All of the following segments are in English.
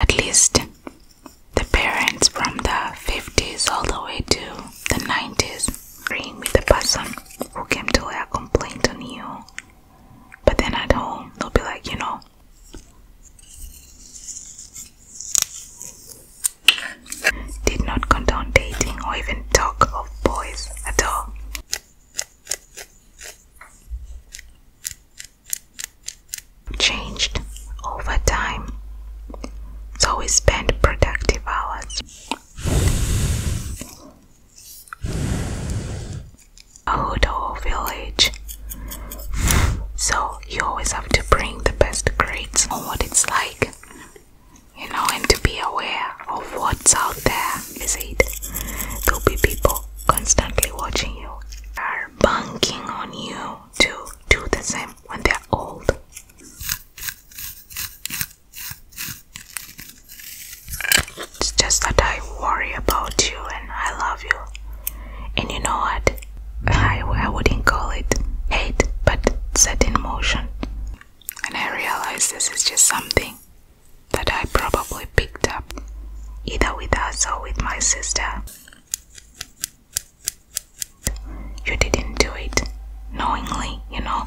At least the parents from the 50s all the way to the 90s agreeing with the person who came to lay a complaint on you. But then at home, they'll be like, you know, did not condone dating or even talk of boys at all changed over time, so we spend productive hours. A little village, so you always have to bring the best grades on what it's like, you know, and to be aware of what's out there. Is it? There'll be people constantly watching you are banking on you to do the same when they're old. It's just that I worry about you and I love you. And you know what? I, I wouldn't call it hate, but set in motion. And I realize this is just something that I probably picked up either with us or with my sister. You didn't do it knowingly, you know.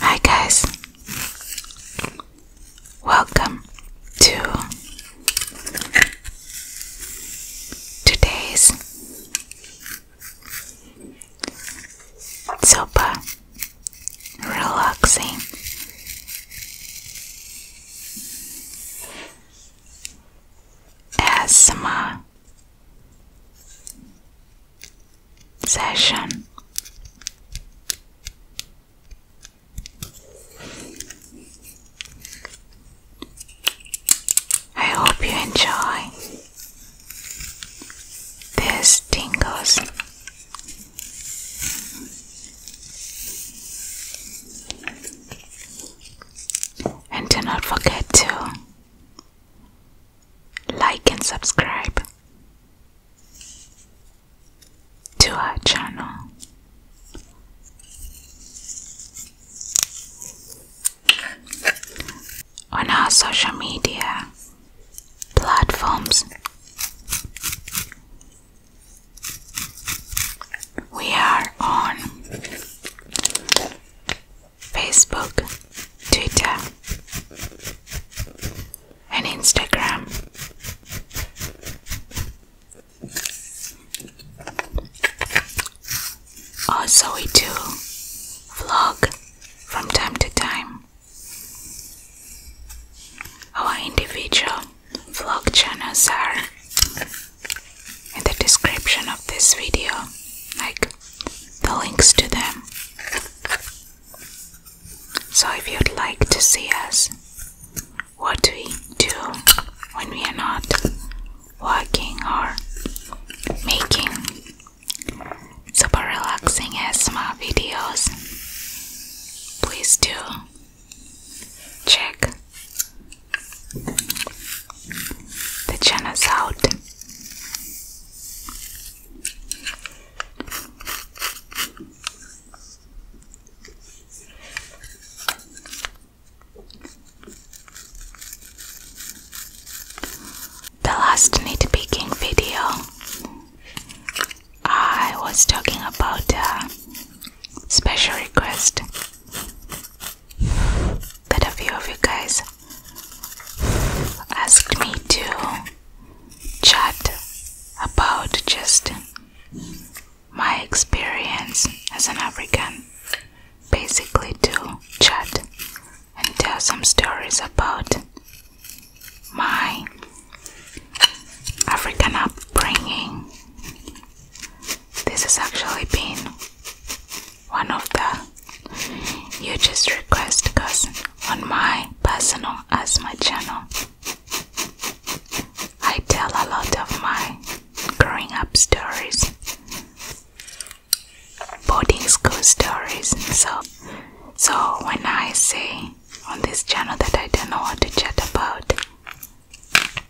Hi, guys, welcome to today's super relaxing. ASMR session. I hope you enjoy. This tingles. And do not forget to like and subscribe to our channel on our social media platforms. We are on Facebook, Twitter, and Instagram. Also, we do vlog from time to time. Our individual vlog channels are in the description of this video, like the links to them. So if you'd like to see us, what we do when we are not working or making super relaxing ASMR videos, please do check the channels out the last nitpicking video, I was talking about a special request that a few of you guys asked me to chat about just my experience as an African, basically to chat and tell some stories about my African upbringing. This has actually been one of the you hugest requests because on my personal asthma channel, I tell a lot of my growing up stories boarding school stories. So, so when I say on this channel that I don't know what to chat about,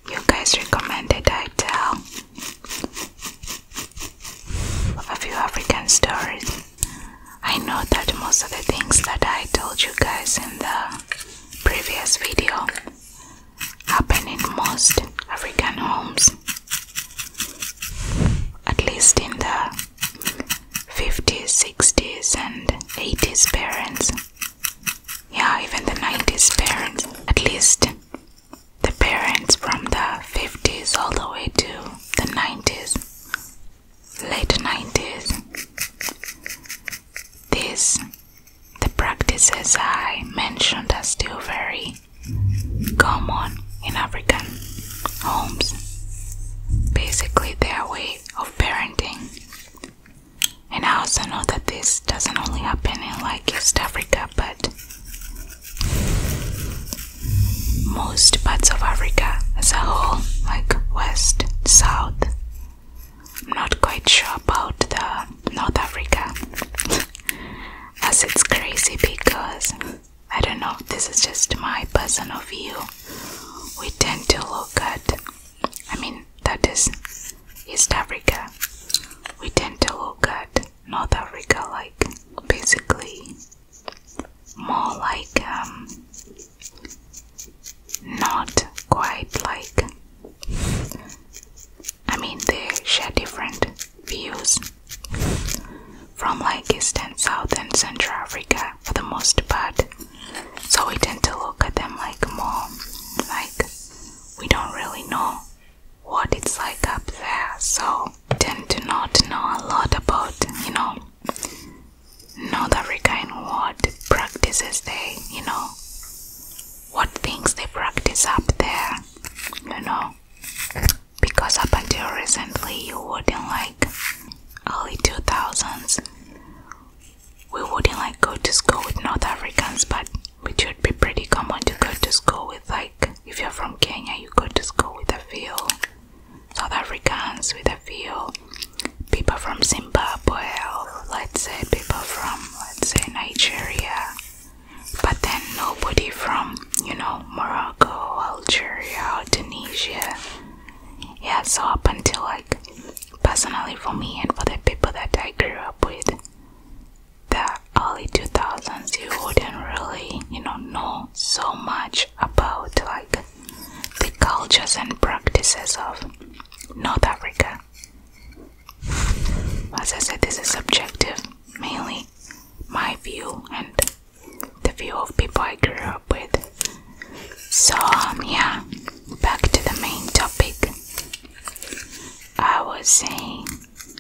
you guys recommended I tell a few African stories. I know that most of the things that I told you guys in the previous video happen in most African homes. At least in the 50s, 60s, and 80s parents. Yeah, even the 90s parents. At least the parents from the 50s all the way to the 90s, late 90s. These, the practices I mentioned, are still very say come on in African homes, basically their way of parenting. And I also know that this doesn't only happen in like East Africa, but most parts of Africa as a whole, like West, South. I'm not quite sure about the North Africa, as it's crazy because I don't know this is just my personal view. We tend to look at, I mean, that is East Africa. We tend to look at North Africa like basically more like, um, not quite like. I mean, they share different views from like Eastern, South, and Central Africa for the most part. So we tend to look at them like more like we don't really know what it's like up there. So tend to not know a lot about, you know, North Africa and what practices they, you know, what things they practice up there, you know because up until recently you wouldn't like early 2000s we wouldn't like go to school with north africans but which would be pretty common to go to school with like if you're from kenya you go to school with a few south africans with a few people from zimbabwe or let's say people from let's say nigeria but then nobody from you know Morocco, Algeria, Tunisia. Yeah, so up until like personally for me and for the people that I grew up with, the early 2000s, you wouldn't really, you know, know so much about like the cultures and practices of North Africa. As I said, this is subjective, mainly my view and the few of people I grew up with. So, um, yeah, back to the main topic. I was saying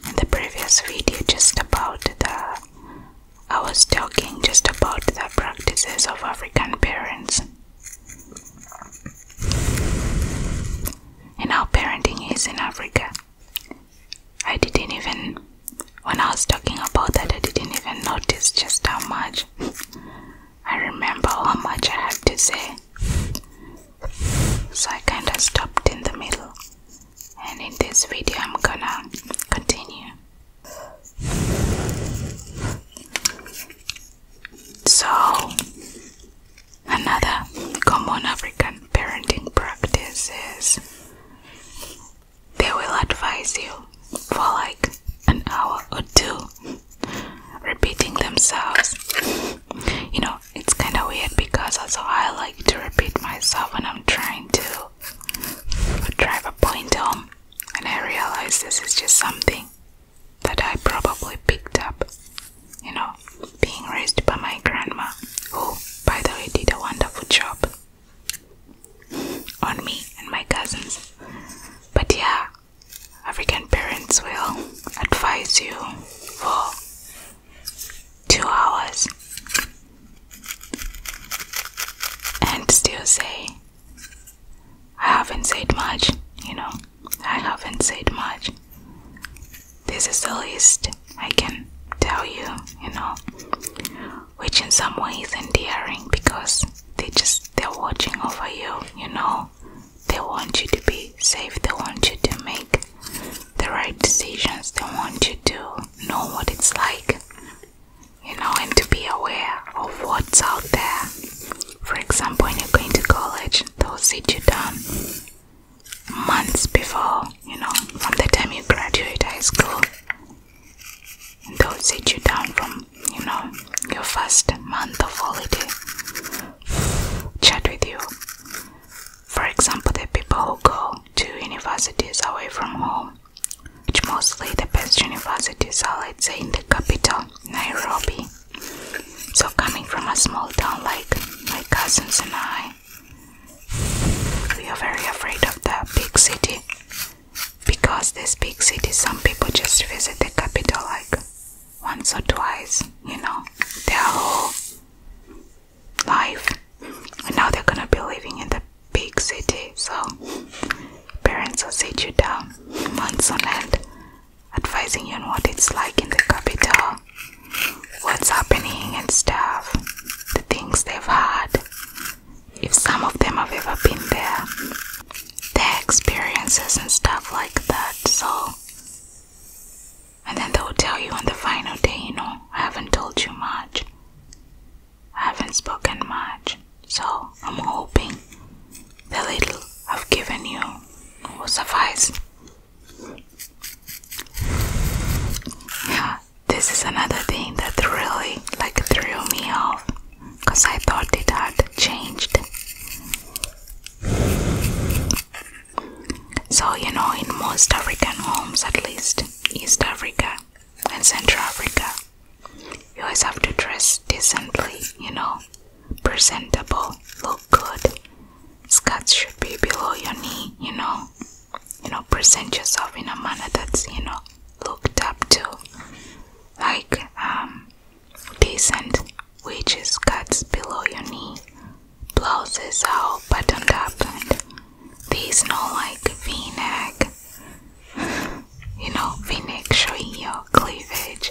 in the previous video just about the. I was talking just about the practices of African parents and how parenting is in Africa. I didn't even, when I was talking about that, I didn't even notice just how much. I remember how much I had to say. So I kind of stopped in the middle. And in this video, I'm gonna continue. So, another common African parenting practice is they will advise you for like an hour or two, repeating themselves. You know, it's kind of weird because also I like to repeat myself when I'm trying to drive a point home, and I realize this is just something that I probably picked up, you know, being raised by my grandma, who, by the way, did a wonderful job on me and my cousins. But yeah, African parents will advise you for two hours and still say, I haven't said much, you know, I haven't said much. This is the least I can tell you, you know, which in some ways is endearing because they just they're watching over you, you know. They want you to be safe, they want you to make the right decisions, they want you to know what it's like, you know, and to be aware of what's out there. For example, when you're going to college, they'll sit you down months before, you know, from the time you graduate high school. they'll sit you down from, you know, your first month of holiday, chat with you. For example, the people who go to universities away from home, which mostly the best universities are, let's say, in the capital, Nairobi. So, coming from a small town like my cousins and I, we are very afraid of the big city because this big city, some people just visit the capital like once or twice, you know, their whole life. And now they're gonna be living in the big city, so parents will sit you down months on end, advising you on what it's like in the capital what's happening and stuff, the things they've had, if some of them have ever been there, their experiences and stuff like that. So, and then they'll tell you on the final day, you know, I haven't told you much, I haven't spoken much. So, I'm hoping the little I've given you will suffice. Yeah, this is another thing that really like threw me off because I thought it had changed. So, you know, in most African homes, at least East Africa and Central Africa, you always have to dress decently, you know, presentable, look good. Skirts should be below your knee, you know you know present yourself in a manner that's you know looked up to like um decent is cuts below your knee blouses are all buttoned up and these no like v-neck you know v-neck showing your cleavage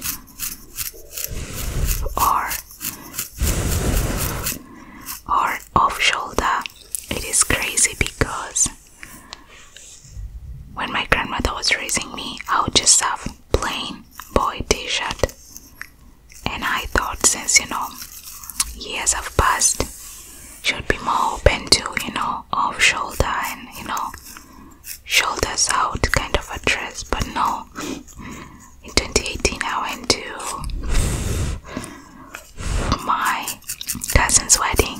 or or off shoulder. It is crazy because when my grandmother was raising me, I would just have plain boy t shirt. And I thought, since you know, years have passed, should be more open to you know, off shoulder and you know, shoulders out kind of a dress. But no, in 2018, I went to my cousin's wedding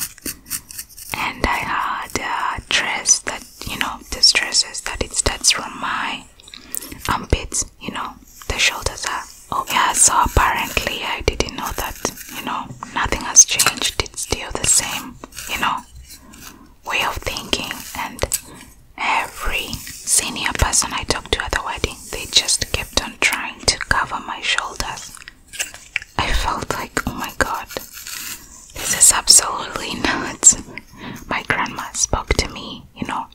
and I had a dress that you know the dresses that it's that's from my armpits you know the shoulders are oh yeah so apparently I didn't know that you know nothing has changed it's still the same you know way of thinking and every senior person I talked to at the wedding they just kept on trying to cover my shoulders. I felt like, oh my god, this is absolutely nuts. My grandma spoke to me, you know,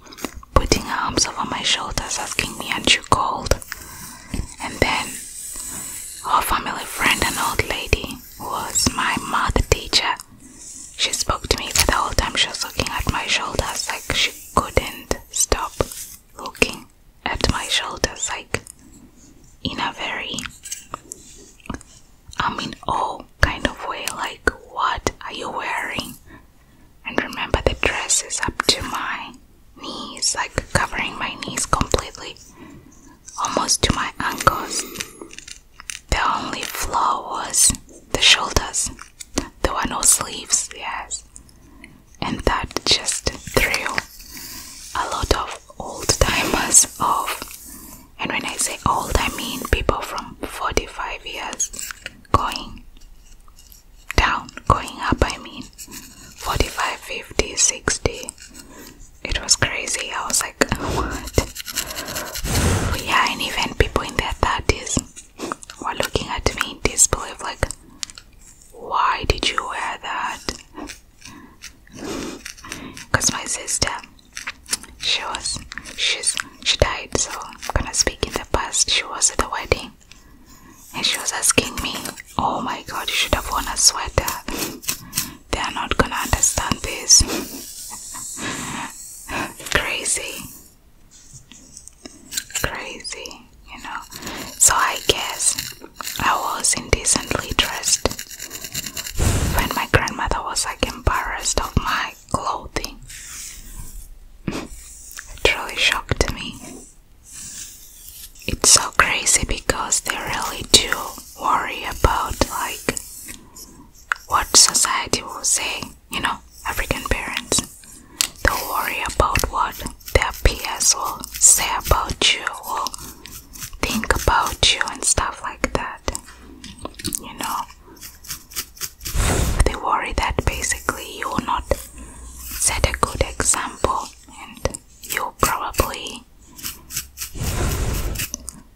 putting arms over my shoulders, asking me, Aren't you cold? And then our family friend, an old lady, who was my math teacher. She spoke to me, for the whole time she was looking at my shoulders like she couldn't stop looking at my shoulders like in a very I mean oh kind of way like what are you wearing? And remember the dress is up to my knees, like covering my knees completely, almost to my ankles. The only flaw was the shoulders. There were no sleeves, yes. And that just threw a lot of old timers off. And when I say old, I mean people from 45 years going down, going up, I mean 45, 50, 60. It was crazy. I was like, what? Yeah, and even people in their 30s were looking at me in disbelief, like, why did you wear that? Because my sister, she was, she's, she died, so I'm gonna speak in the past. She was at the wedding and she was asking me, Oh my god, you should have worn a sweater. They are not gonna understand this. Crazy crazy, you know. So I guess I was indecently dressed when my grandmother was like embarrassed of my clothing. it really shocked me. It's so crazy because they really do worry about like what society will say, you know, African parents. Don't worry about what their peers will say about you or think about you and stuff like that. You know, they worry that basically you will not set a good example and you probably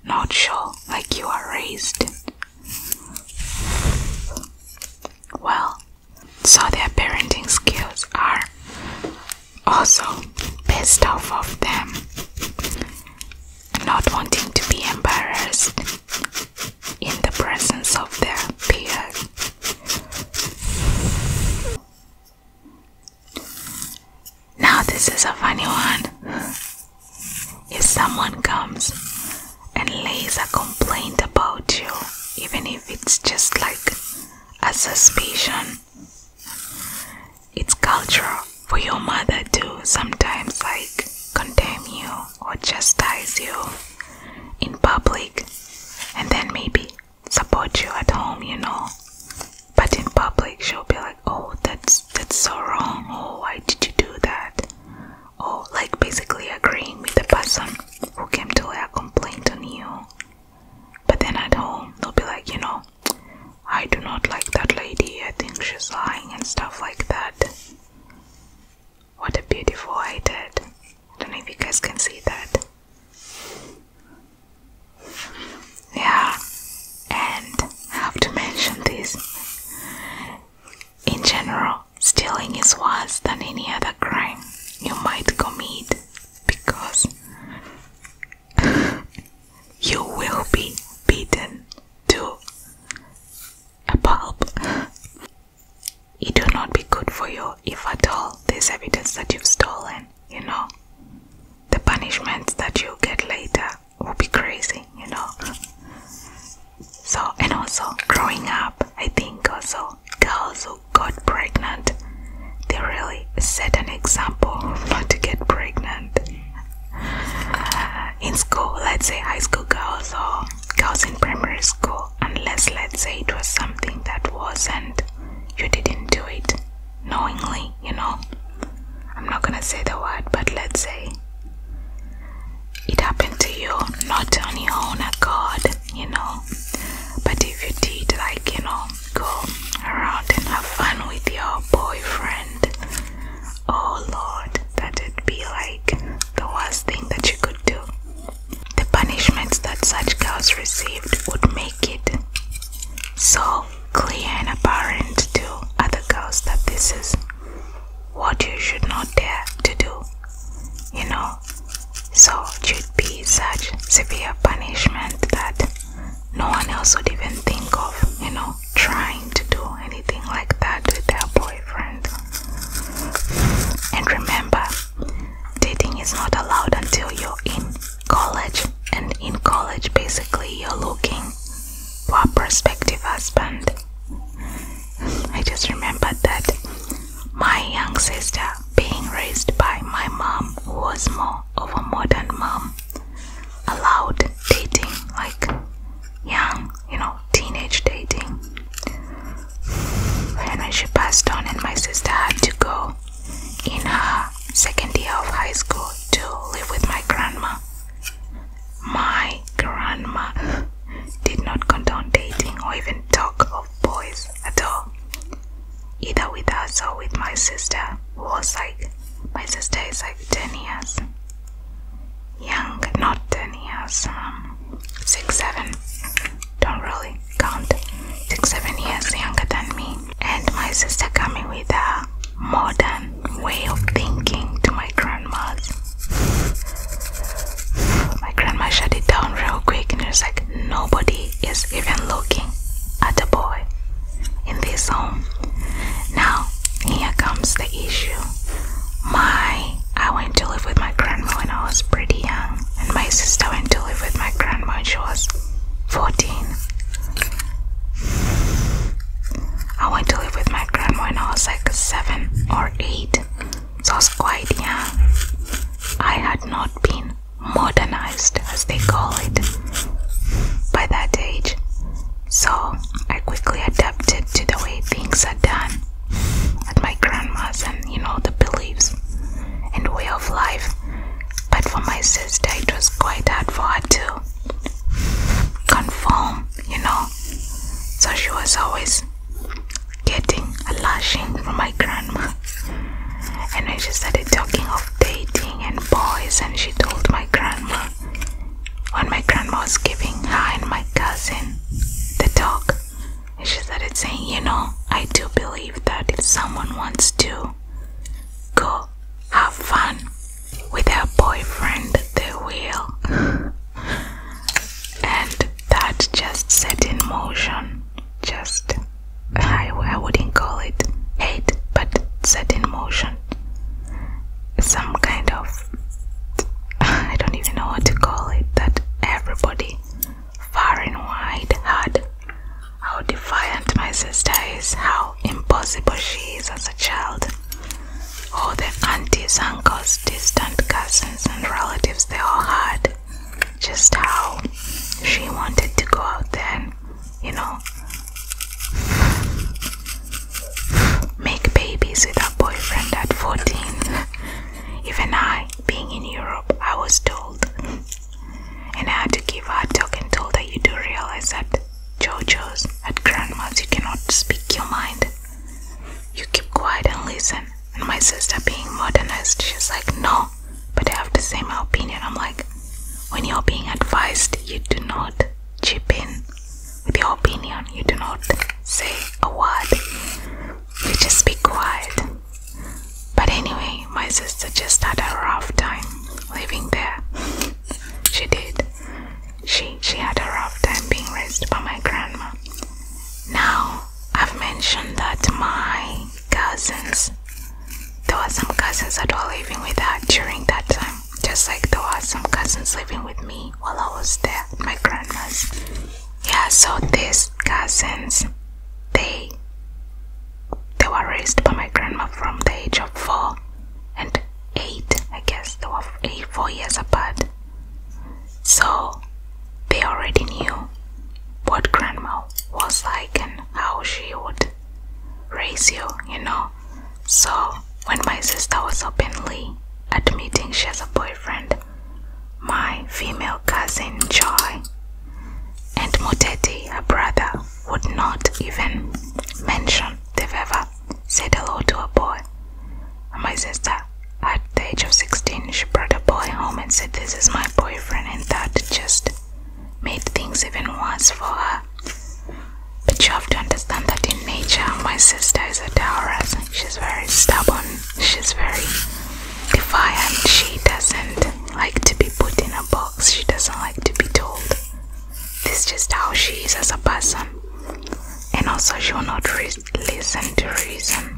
not sure like you are raised well. So their parenting skills are also based off of them not wanting to be embarrassed in the presence of their peers. Now, this is a funny one. If someone comes and lays a complaint about you, even if it's just like a suspicion. It's cultural for your mother to sometimes like condemn you or chastise you in public and then maybe support you at home, you know. But in public she'll be like, Oh, that's that's so wrong. Oh, why did you do that? or oh, like basically agreeing with the person who came to lay a complaint on you. But then at home, they'll be like, you know, I do not like that lady, I think she's lying and stuff like that. What a beautiful idea! I don't know if you guys can see that. Yeah, and I have to mention this. In general, Stealing is worse than any other crime you might commit because you will be beaten to a pulp. It will not be good for you if at all there's evidence that you've stolen, you know. The punishments that you get later will be crazy, you know. So, and also growing up, I think also girls who got pregnant, they really set an example not to get pregnant. Uh, in school, let's say high school girls or girls in primary school, unless let's say it was something that wasn't, you didn't do it knowingly, you know. I'm not gonna say the word, but let's say it happened to you not on your own accord, you know. But if you did, like, you know, go around and have fun with your boyfriend, oh lord, that'd be like the worst thing that you could do. The punishments that such girls received would make it so clear and apparent to other girls that this is what you should not dare to do. You know, so it should be such severe punishment that no one else would even think of, you know, trying to do anything like that with their boyfriend. And remember, dating is not allowed until you're in college, and in college, basically, you're looking for a prospective husband. I just remember that my young sister being raised by my mom who was more of a modern mom allowed dating like young you know teenage dating and when she passed on and my sister had to go in her second year of high school to live with my grandma my grandma did not count on dating or even talk of boys at all, either with us or with my sister, who was like, my sister is like 10 years young, not 10 years, um, 6, 7, don't really count, 6, 7 years younger than me. And my sister coming with a modern way of thinking to my grandma's. My grandma shut it down real quick and it's like nobody is even looking at the boy in this home. Now, here comes the issue. My I went to live with my grandma when I was pretty young, and my sister went to live with my grandma when she was 14. I went to live with my grandma when I was like 7 or 8. Sasquatch I had not been modernized, as they call it, by that age, so I quickly adapted to the way things are done at my grandma's and you know the beliefs and way of life. But for my sister, it was quite hard for her to conform, you know. So she was always getting a lashing from my grandma. And when she started talking of dating and boys, and she told my grandma, when my grandma was giving her and my cousin the talk, and she started saying, You know, I do believe that if someone wants to go have fun with her boyfriend, they will. and that just set in motion just I, I wouldn't call it hate but set in motion some kind of I don't even know what to call it that everybody far and wide had how defiant my sister is how impossible she is as a child all the aunties uncles distant cousins and relatives they all had just how she wanted to go out there you know, make babies with her boyfriend at 14. Even I, being in Europe, I was told. And I had to give her talking. told that You do realize that JoJo's at grandma's, you cannot speak your mind. You keep quiet and listen and my sister being modernist she's like no but i have the same opinion i'm like when you're being advised you do not chip in with your opinion you do not say a word you just be quiet but anyway my sister just had a rough time living there she did she she had a rough time being raised by my grandma now I've mentioned that my cousins, there were some cousins that were living with her during that time, just like there were some cousins living with me while I was there, my grandma's. Yeah, so these cousins, they they were raised by my grandma from the age of four and eight, I guess. They were eight, four years apart. So they already knew what grandma was like and how she would raise you, you know. So when my sister was openly admitting she has a boyfriend, my female cousin Joy and Moteti, her brother, would not even mention they've ever said hello to a boy. my sister at the age of 16, she brought a boy home and said, This is my boyfriend, and that just made things even worse for her. But you have to understand that in nature, my sister is a Taurus. She's very stubborn, she's very defiant, she doesn't like to be put in a box, she doesn't like to be told. This is just how she is as a person. And also, she will not listen to reason.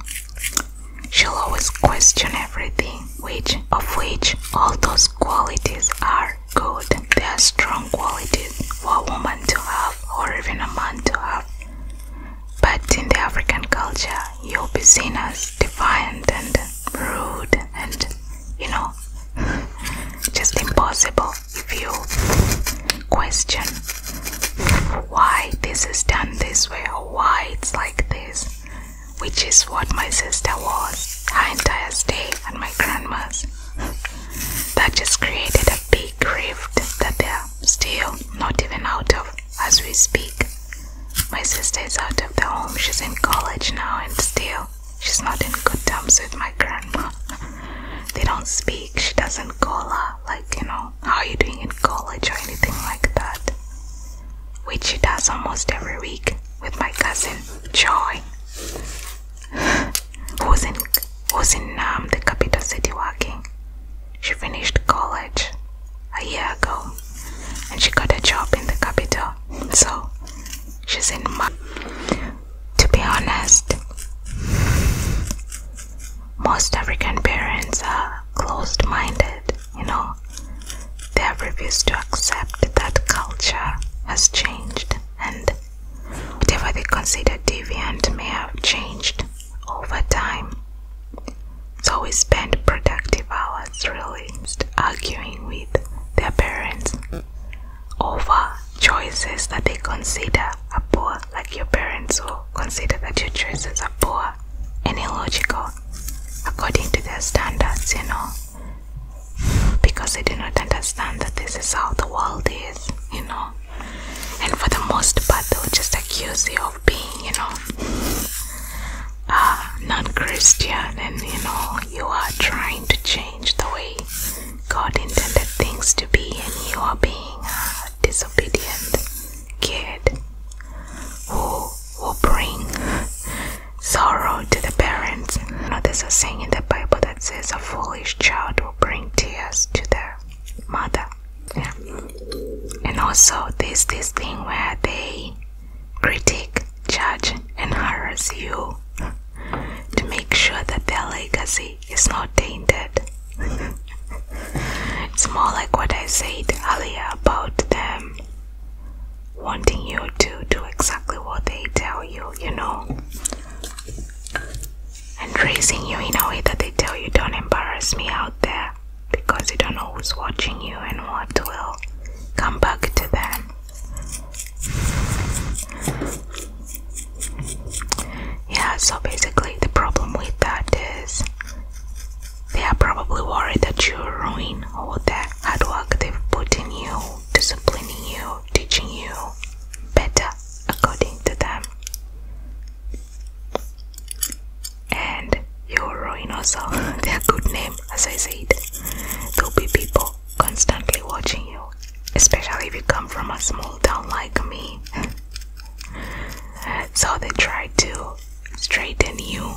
She'll always question everything, which of which all those qualities are good. They are strong qualities for a woman to have or even a man to have. But in the African culture, you'll be seen as defiant and rude and, you know, just impossible if you question why this is done this way or why it's like this, which is what my sister was, her entire stay and my grandma's. That just created a big rift that they're still not even out of as we speak. My sister is out of the home, she's in college now, and still she's not in good terms with my grandma. They don't speak, she doesn't call her like you know how are you doing in college or anything like that which she does almost every week with my cousin joy who's in who's in um, the capital city working she finished college a year ago and she got a job in the capital so she's in my to be honest most African parents are closed minded, you know. They refuse to accept that culture has changed and whatever they consider deviant may have changed over time. So we spend productive hours really arguing with their parents over choices that they consider a poor like your parents will consider that your choices are poor and illogical according to their standards, you know, because they do not understand that this is how the world is, you know, and for the most part, they'll just accuse you of being, you know, uh, non Christian and you know, you are trying to change the way God intended things to be, and you are being uh, disobedient kid who will bring sorrow to the parents. You know, there's a saying in the Bible that says a foolish child will bring tears to their mother. And also there's this thing where they critique, judge and harass you to make sure that their legacy is not tainted it's more like what I said earlier about them wanting you to do exactly what they tell you, you know, and raising you in a way that they tell you, Don't embarrass me out there because you don't know who's watching you and what will come back to them. Yeah, so basically, the problem with that is they are probably worried that you will ruin all the hard work they've put in you, disciplining you, teaching you better according to them. And you will ruin also their good name, as I said. There'll be people constantly watching you, especially if you come from a small town like me so they try to straighten you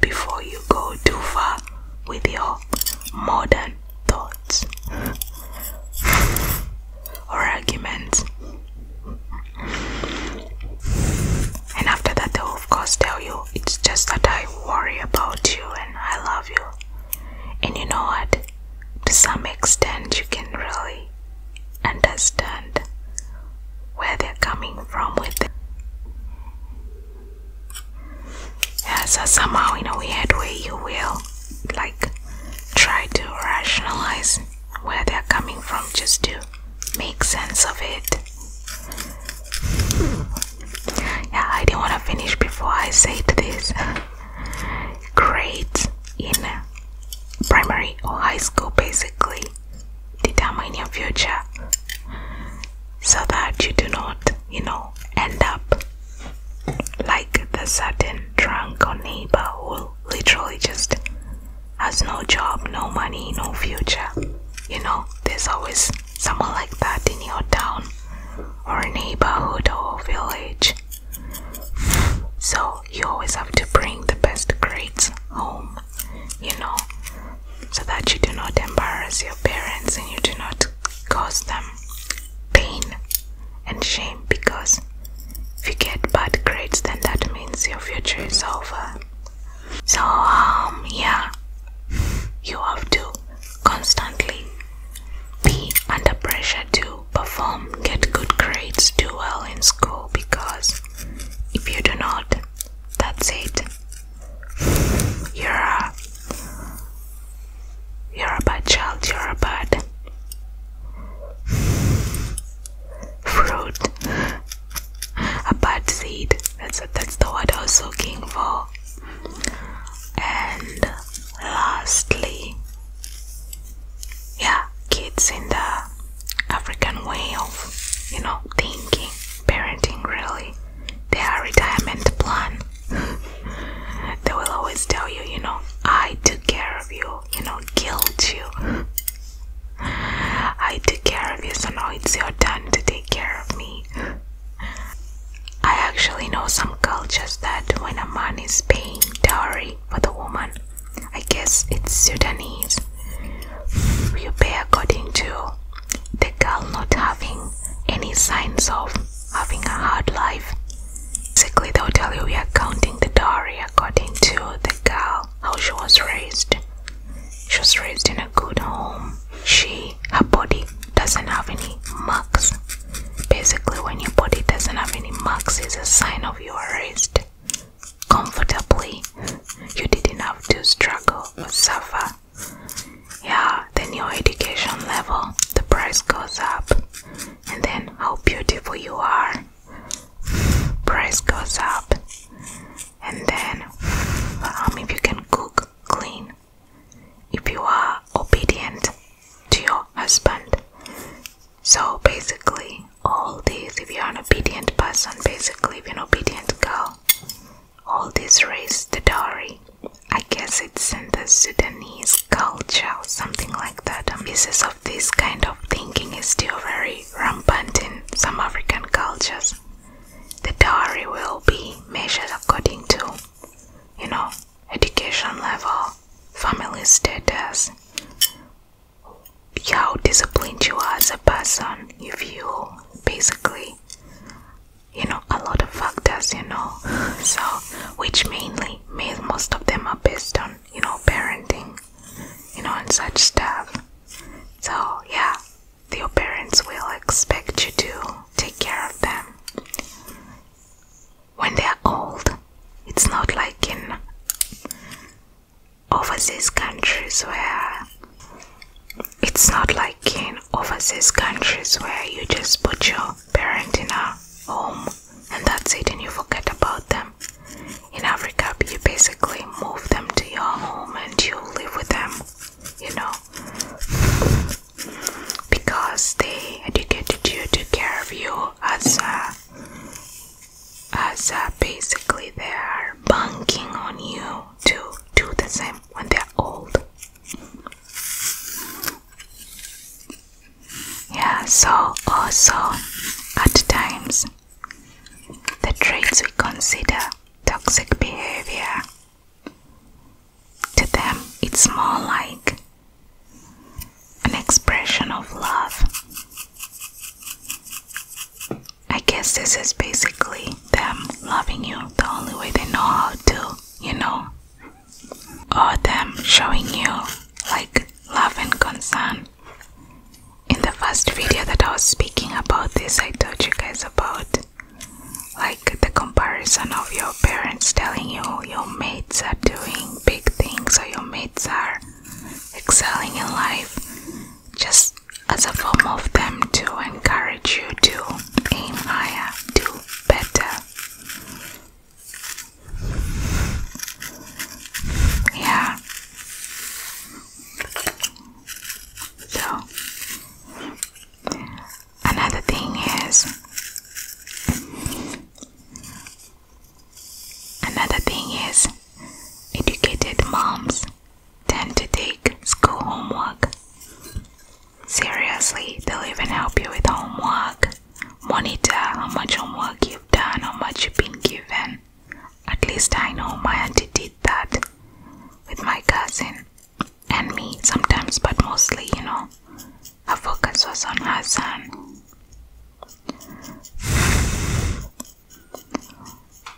before you go too far with your modern thoughts or arguments. And after that, they'll of course tell you it's just that I worry about you and I love you. And you know what? To some extent, you can really understand where they're coming from with it. Yeah, somehow in a weird way you will like try to rationalize where they're coming from just to make sense of it. Yeah, I didn't want to finish before I said this. Great in primary or high school basically determine your future so that you do not, you know, end up like the certain drunk or neighbor who literally just has no job, no money, no future. You know, there's always someone like that in your town or neighborhood or village. So you always have to bring the best grades home, you know, so that you do not embarrass your parents and you do not cause them pain and shame because if you get bad grades, then that means your future is over. So, um, yeah, you have to constantly be under pressure to perform, get good grades, do well in school because if you do not, that's it. You're a, you're a bad child, you're a bad fruit, a bad seed. That's a, that's the word I was looking for. And lastly, yeah kids in the African way of you know thinking parenting really their retirement plan they will always tell you you know I took care of you you know guilt you I took care of you so now it's your turn to take care of me I actually know some cultures that when a man is paying dowry for the woman I guess it's Sudanese. You pay according to the girl not having any signs of having a hard life. Basically, they'll tell you we are counting the dowry according to the girl, how she was raised. She was raised in a good home. She, her body doesn't have any marks. Basically, when your body doesn't have any marks, it's a sign of your raised comfortably. You didn't have to struggle or suffer. Yeah, then your education level, the price goes up. And then how beautiful you are, price goes up. And then um, if you can cook, clean, if you are obedient to your husband, so basically, all these, if you're an obedient person, basically, if an obedient girl, all this raised the dowry. I guess it's in the Sudanese culture or something like that. A basis of this kind of thinking is still very rampant in some African cultures. The dowry will be measured according to, you know, education level, family status, how disciplined you are as a person, if you basically, you know, a lot of factors, you know, so which mainly, means most of them are based on, you know, parenting, you know, and such stuff. So, yeah, your parents will expect you to take care of them when they are old. It's not like in overseas countries where it's not like in overseas countries where you just put your parent in a home and that's it and you forget about them. In Africa, you basically move them to your home and you live with them, you know, because they educated you, took care of you as a as uh, basically they are banking on you to do the same when they're old. Yeah, so also at times the traits we consider toxic behavior to them it's more like an expression of love I guess this is basically them loving you the only way they know how to, you know? Or them showing you like love and concern. In the first video that I was speaking about this, I told you guys about like the comparison of your parents telling you your mates are doing big things or your mates are excelling in life just as a form of them to encourage you to aim higher, do better. Yeah. So, another thing is Another thing is, educated moms tend to take school homework seriously. They'll even help you with homework, monitor how much homework you've done, how much you've been given. At least I know my auntie did that with my cousin and me sometimes, but mostly, you know, her focus was on her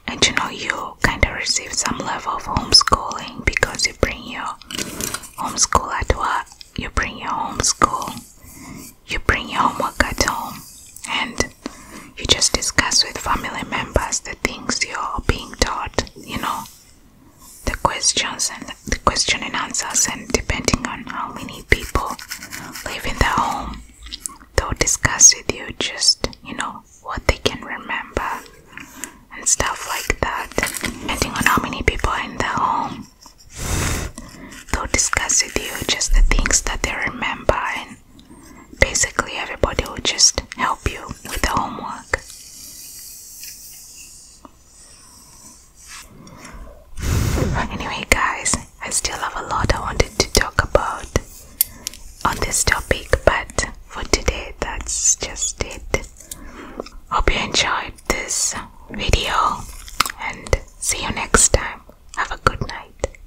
and you know, you kind of receive some level of homeschooling because you bring your homeschool at work, you bring your homeschool, you bring your homework at home, and you just discuss with family members the things you're being taught, you know, the questions and the question and answers, and depending on how many people live in the home, they'll discuss with you just you know what they can remember and stuff like that depending on how many people in the home they'll discuss with you just the things that they remember and basically everybody will just help you with the homework anyway guys I still have a lot I wanted to talk about on this topic, but for today, that's just it. Hope you enjoyed this video and see you next time. Have a good night.